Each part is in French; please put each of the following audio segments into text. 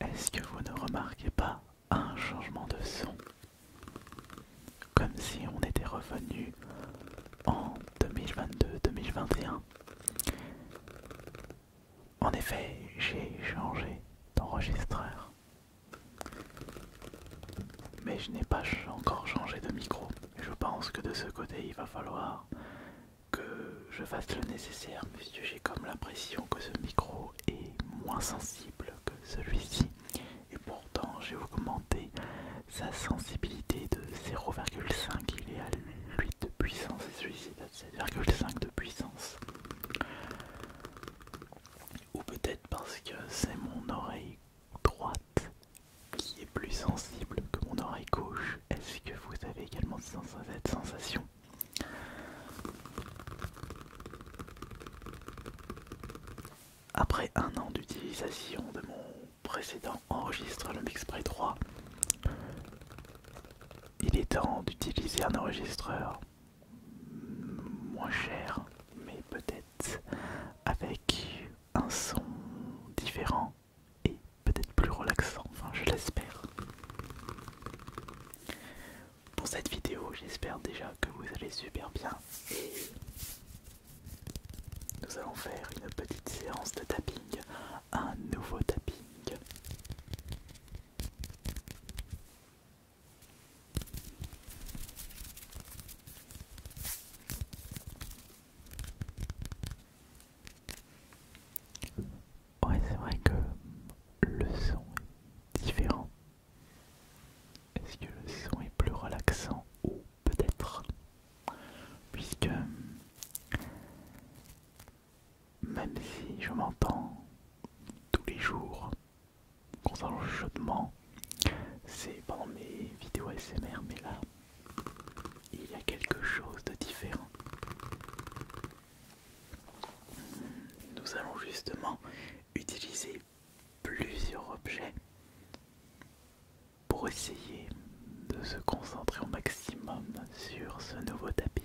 Est-ce que vous ne remarquez pas un changement de son Comme si on était revenu en 2022-2021. En effet, j'ai changé d'enregistreur. Mais je n'ai pas encore changé de micro. Je pense que de ce côté, il va falloir que je fasse le nécessaire, puisque j'ai comme l'impression que ce micro est moins sensible que celui-ci. Et pourtant, j'ai augmenté sa sensibilité de 0,5. Il est à 8 de puissance et celui-ci 7,5 de puissance. Ou peut-être parce que c'est mon oreille droite qui est plus sensible que mon oreille gauche. Est-ce que vous avez également cette sensation Après un an d'utilisation de mon précédent enregistre le Mixpray 3, il est temps d'utiliser un enregistreur moins cher, mais peut-être avec un son différent et peut-être plus relaxant, enfin je l'espère. Pour cette vidéo, j'espère déjà que vous allez super bien. Et nous allons faire une petite séance de tapping, un nouveau tapping. Ouais, c'est vrai que le son est différent. Est-ce que le son est plus relaxant ou peut-être Puisque même si je m'entends tous les jours concernant chaudement, c'est pendant mes vidéos SMR, mais là, il y a quelque chose de différent. Nous allons justement utiliser plusieurs objets pour essayer de se concentrer au maximum sur ce nouveau tapping.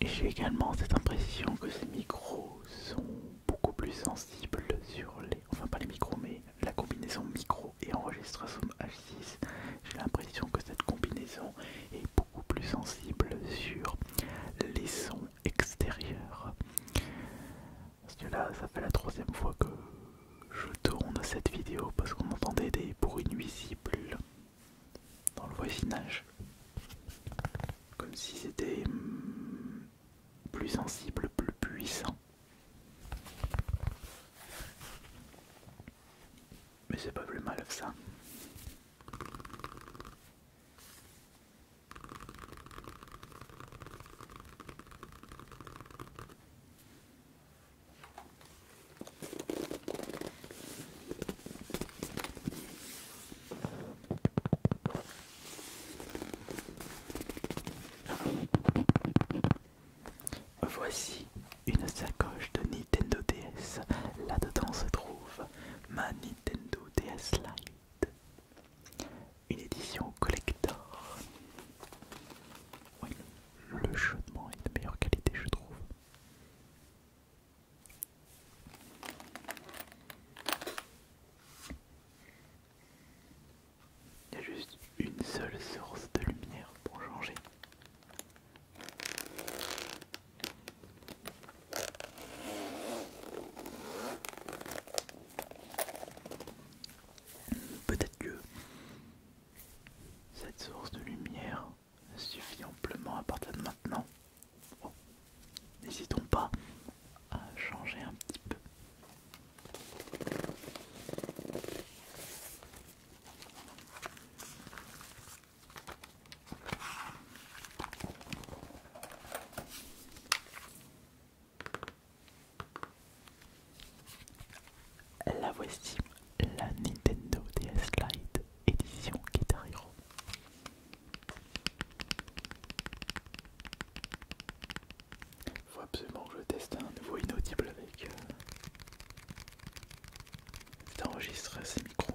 j'ai également cette impression que ces micros sont beaucoup plus sensibles sur les... Enfin pas les micros mais la combinaison micro et enregistreur Zoom H6 j'ai l'impression que cette combinaison est beaucoup plus sensible sur les sons extérieurs. Parce que là, ça fait la troisième fois que je tourne cette vidéo parce qu'on entendait des bruits nuisibles dans le voisinage. Comme si c'était hmm, plus sensible, plus puissant. Mais c'est pas plus mal que ça. Voici une sacoche de Nintendo DS. Là-dedans se trouve ma Nintendo DS Lite. Une édition collector. le chaudement est de meilleure qualité, je trouve. Il y a juste une seule source de lumière pour changer. Peut-être que cette source de lumière suffit amplement à partir de maintenant. n'hésitons pas à changer un petit peu. La voici, la Nintendo DS Lite édition Guitar Hero. Faut absolument que je teste un nouveau inaudible avec euh, enregistrer ces micros.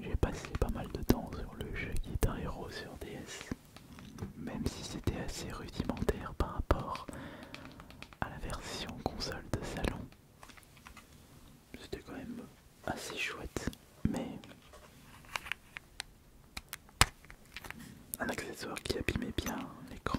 J'ai passé pas mal de temps sur le jeu un Hero sur DS même si c'était assez rudimentaire par rapport à la version console de salon. C'était quand même assez chouette, mais un accessoire qui abîmait bien l'écran.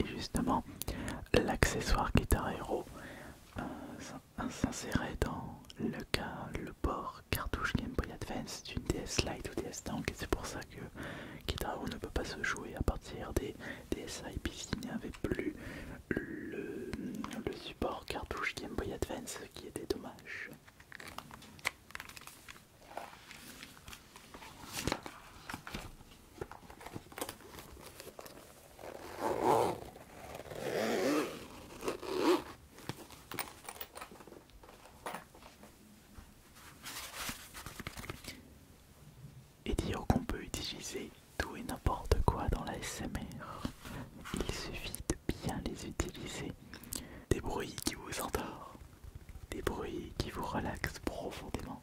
Et justement, l'accessoire Guitar Hero euh, s'insérait dans le, cas, le port cartouche Game Boy Advance d'une DS Lite ou DS Tank, et c'est pour ça que Guitar Hero ne peut pas se jouer à partir des DSi, puisqu'il n'y avait plus le support cartouche Game Boy Advance, ce qui était dommage. Et dire qu'on peut utiliser tout et n'importe quoi dans la SMR. Il suffit de bien les utiliser. Des bruits qui vous endorment des bruits qui vous relaxent profondément.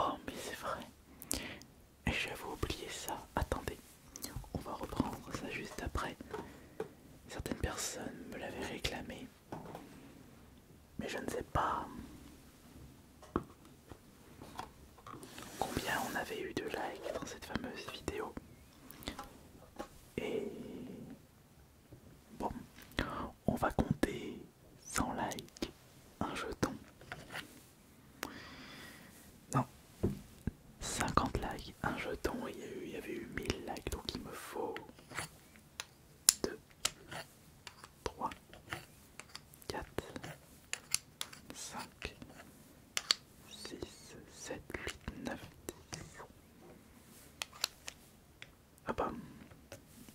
Oh mais c'est vrai J'avais oublié ça Attendez On va reprendre ça juste après Certaines personnes me l'avaient réclamé Mais je ne sais pas combien on avait eu de likes dans cette fameuse vidéo. Et bon, on va compter 100 likes, un jeton. Non, 50 likes, un jeton, il y avait eu 1000 likes, donc il me faut 2, 3, 4, 5, 6, 7, 8, 9, 10. Ah bah,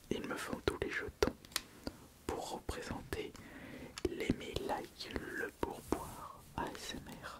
il me faut tous les jetons pour représenter les likes le pourboire ASMR.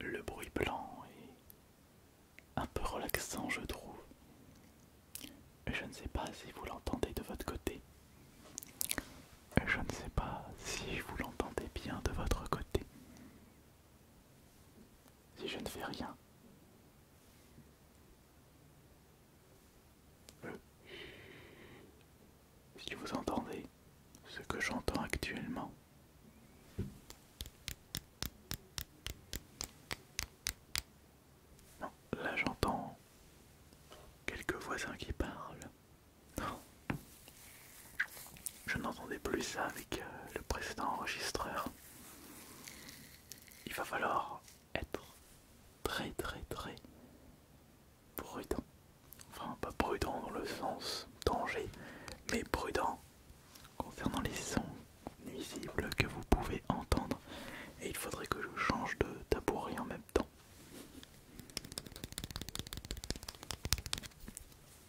Le bruit blanc est un peu relaxant, je trouve. Je ne sais pas si vous l'entendez de votre côté. Je ne sais pas si vous l'entendez bien de votre côté. Si je ne fais rien, si vous entendez ce que j'entends actuellement, là j'entends quelques voisins qui parlent. Je n'entendais plus ça avec euh, le précédent enregistreur. Il va falloir être très très très prudent. Enfin, pas prudent dans le sens danger, mais prudent concernant les sons nuisibles que vous pouvez entendre. Et il faudrait que je change de tabouret en même temps.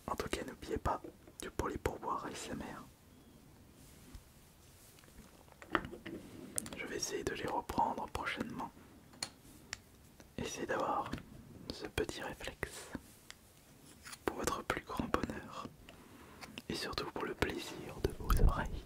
En tout cas, n'oubliez pas que pour les pourboires mère. Je vais essayer de les reprendre prochainement. Essayez d'avoir ce petit réflexe pour votre plus grand bonheur et surtout pour le plaisir de vos oreilles.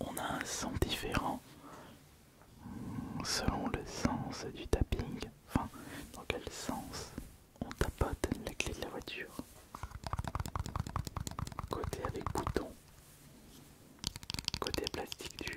On a un son différent selon le sens du tapping, enfin dans quel sens on tapote la clé de la voiture. Côté avec bouton. Côté plastique dur.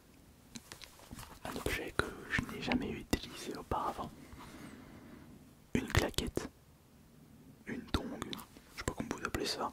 un objet que je n'ai jamais utilisé auparavant. Une claquette. Une tongue. Je sais pas comment vous appelez ça.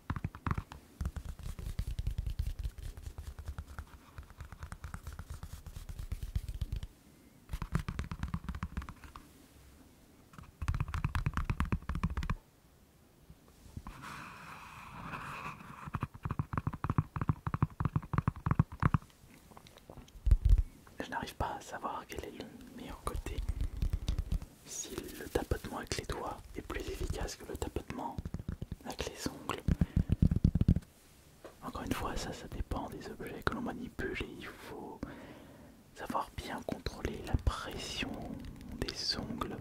Je n'arrive pas à savoir quel est le meilleur côté si le tapotement avec les doigts est plus efficace que le tapotement avec les ongles. Encore une fois, ça, ça dépend des objets que l'on manipule et il faut savoir bien contrôler la pression des ongles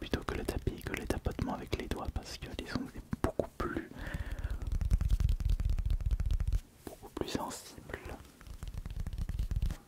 plutôt que le tapis, que le tapotement avec les doigts parce que les ongles sont beaucoup plus, beaucoup plus sensibles.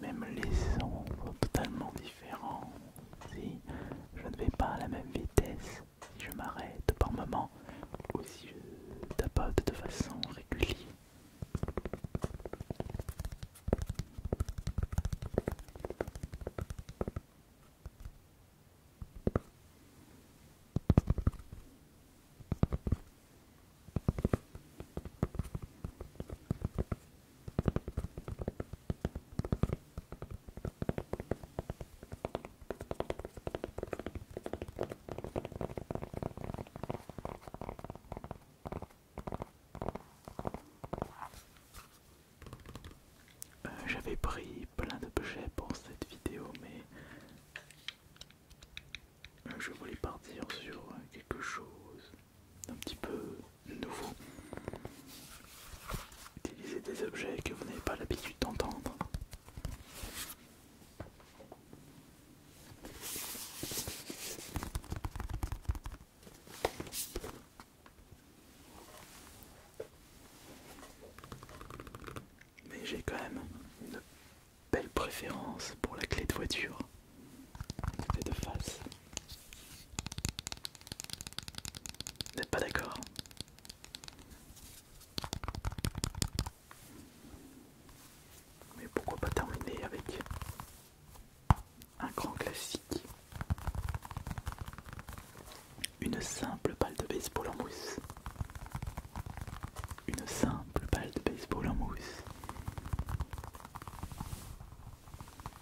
même les sons totalement si je ne vais pas à la même vitesse, si je m'arrête par moments ou si je tapote de façon régulière. Euh, j'avais pris plein d'objets pour cette vidéo, mais euh, je voulais partir sur quelque chose un petit peu nouveau. Utilisez des objets que vous n'avez pas l'habitude d'entendre. Mais j'ai quand même une belle préférence pour la clé de voiture. de face. Vous n'êtes pas d'accord Mais pourquoi pas terminer avec un grand classique Une simple balle de baseball en mousse. Une simple balle de baseball en mousse.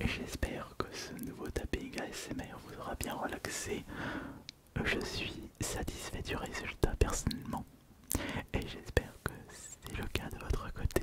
J'espère que ce nouveau tapping ASMR vous aura bien relaxé. Je suis satisfait du résultat personnellement et j'espère que c'est le cas de votre côté.